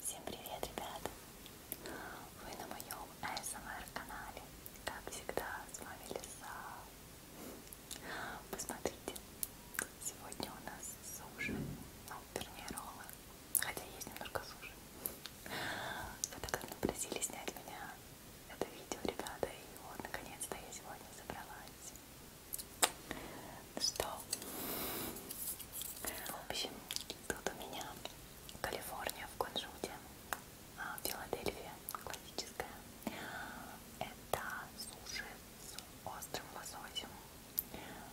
Всем привет, ребята! Вы на моем ASMR эм канале. Как всегда, с вами Лиса. Посмотрите, сегодня у нас суши, ну, вернее, роллы, хотя есть немножко суши. Вы так давно просили снять меня это видео, ребята, и вот, наконец-то я сегодня собралась что в общем тут у меня Калифорния в кунжуте а, Филадельфия классическая это суши с острым лососем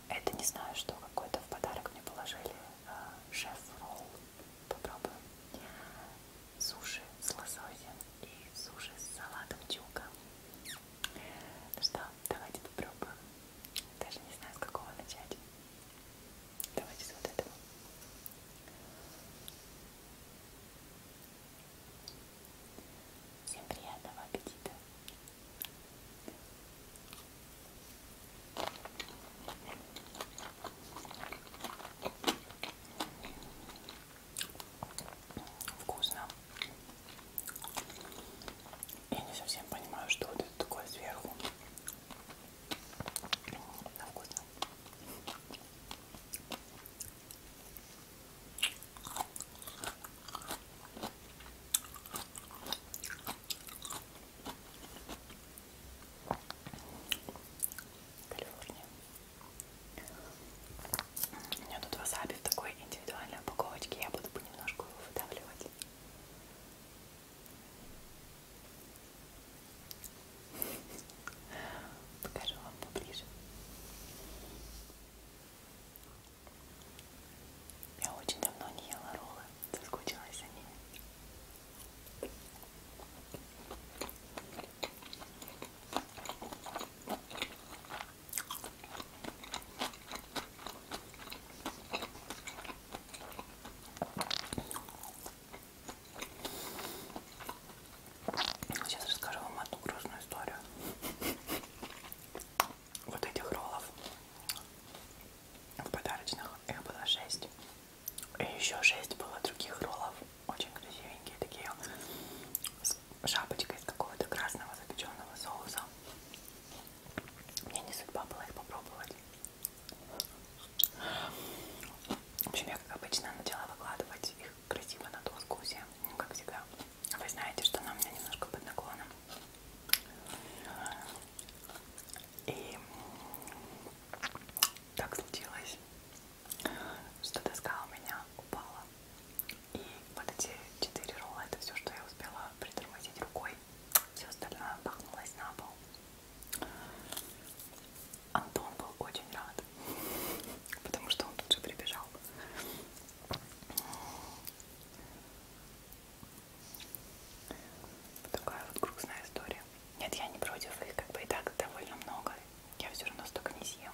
это не знаю что какой-то в подарок мне положили а, шеф ролл попробуем суши с лососем и суши с салатом чука ну что, давайте попробуем. Даже не знаю, с какого начать. Давайте с вот этого. Всем приятного аппетита. Вкусно. Я не совсем понимаю, что вот это такое сверху. На вкусно. Калифорния. У меня тут васаби в такой индивидуальной упаковочке. Я буду понемножку его выдавливать. Покажу вам поближе. Я очень давно не ела роллы, соскучилась за ними. Сейчас расскажу вам одну грустную историю вот этих роллов в подарочных их было 6 и еще 6 было других роллов очень красивенькие такие с шапочка из какого-то красного запеченного соуса. Мне не судьба была их попробовать. В общем, я, как обычно, начала выкладывать их красиво на доску все, ну, как всегда. Вы знаете, что она у меня немножко под наклоном. И так случилось, что доска у меня упала. И вот эти 4 ролла, это все, что я успела притормозить рукой. Все остальное бахнулось на пол. Антон был очень рад, потому что он тут же прибежал. Такая вот грустная история. Нет, я не против их, как бы и так довольно много. Я все равно столько не съем.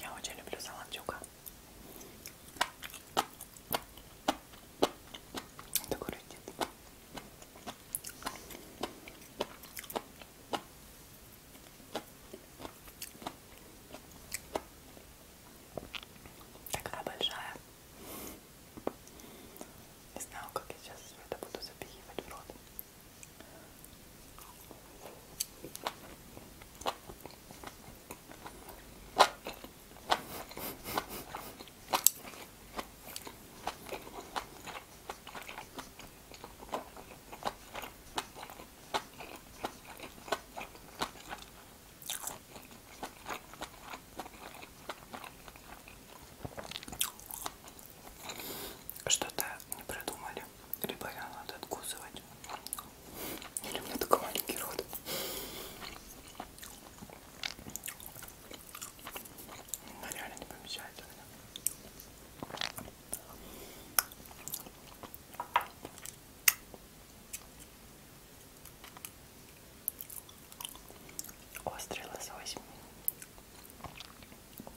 Я очень люблю салат дюка. Такой родит. Такая большая. Не знаю, как я сейчас все это буду запихивать в рот. Что-то не придумали либо ее а надо откусывать, или у меня такой маленький рот. Она реально не помещается у меня. Острый лосось.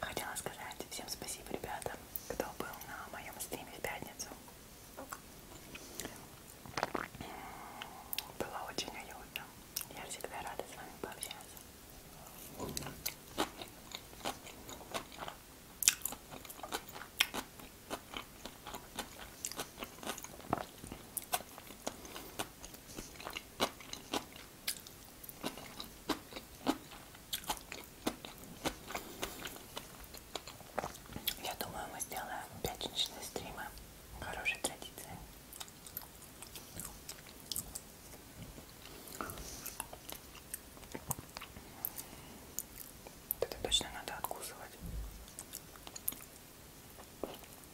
Хотела сказать всем спасибо, ребята, кто был на моем стриме в пятницу. Было очень уютно. Я всегда рада с вами пообщаться. Я думаю, мы сделаем пятничные стримы. Хорошая традиция. Это точно надо откусывать.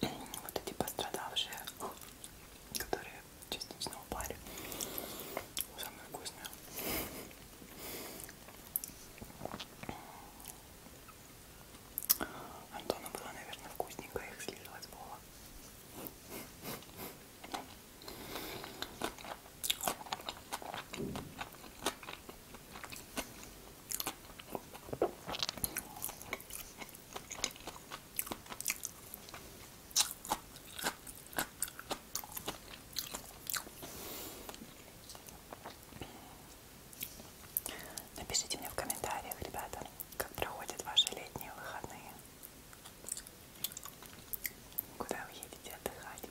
вот эти пострадавшие, которые частично упали. Самое вкусное. Антону было, наверное, вкусненько их слизывать было. Напишите мне в комментариях, ребята, как проходят ваши летние выходные. Куда вы едете отдыхать?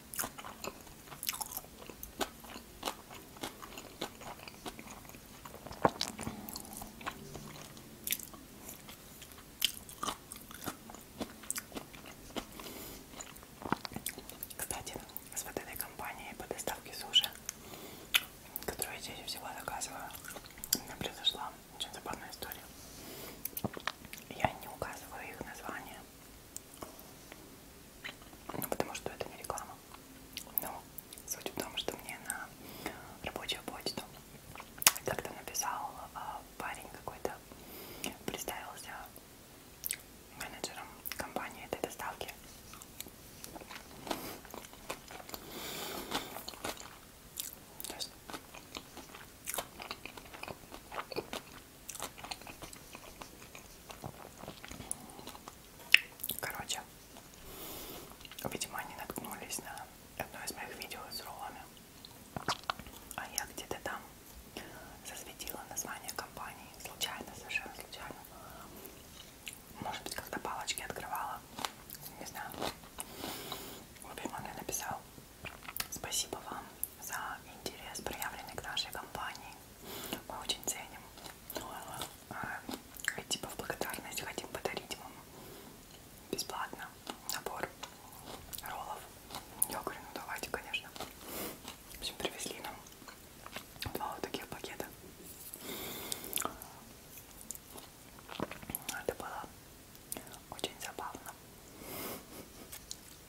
Кстати, с вот этой компанией по доставке суши, которую я чаще всего заказываю, у меня произошла очень забавная история. Я не указываю их название, ну, потому что это не реклама. Но ну, суть в том, что мне на рабочую почту как-то написал а, парень какой-то, представился менеджером компании этой доставки. То есть Короче, видимо, они наткнулись на одно из моих видео с роллами. А я где-то там засветила название компании. Случайно, совершенно случайно. Может быть, когда палочки открывала. Не знаю. В общем, он мне написал. Спасибо вам за интерес, проявленный к нашей компании. Мы очень ценим. А, и типа в благодарность хотим подарить вам бесплатно набор роллов. Я говорю, ну давайте, конечно. В общем, привезли нам два вот таких пакета. Это было очень забавно.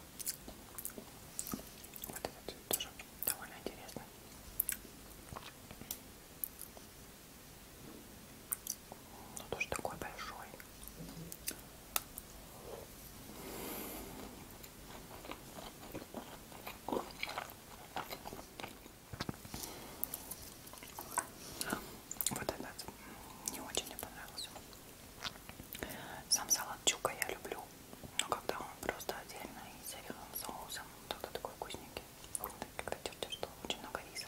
Вот этот цвет тоже довольно интересный. Но ну, тоже такой большой. Вот этот не очень мне понравился. Сам салат чука я люблю, но когда он просто отдельно и с оливковым соусом, тогда такой вкусненький. Когда тетя, что очень много риса.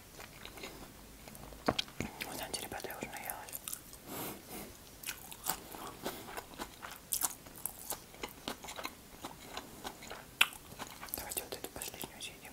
Вы знаете, ребята, я уже наелась. Давайте вот эту последнюю съедим.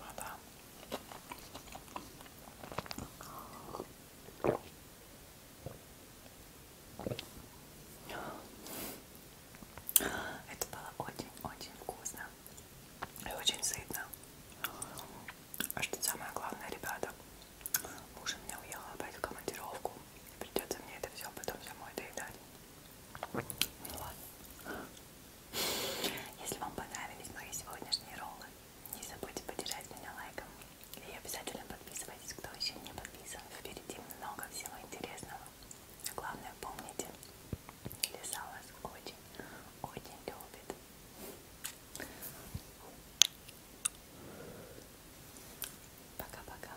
Вода. Это было очень-очень вкусно и очень сытно. А что самое главное, ребята, муж у меня уехал опять в командировку. Придется мне это все потом самой доедать. Ну ладно. Если вам понравились мои сегодняшние роллы, не забудьте поддержать меня лайком. И обязательно подписывайтесь, кто еще не подписан. Впереди много всего интересного. Главное, помните, лиса вас очень, очень любит. Пока-пока.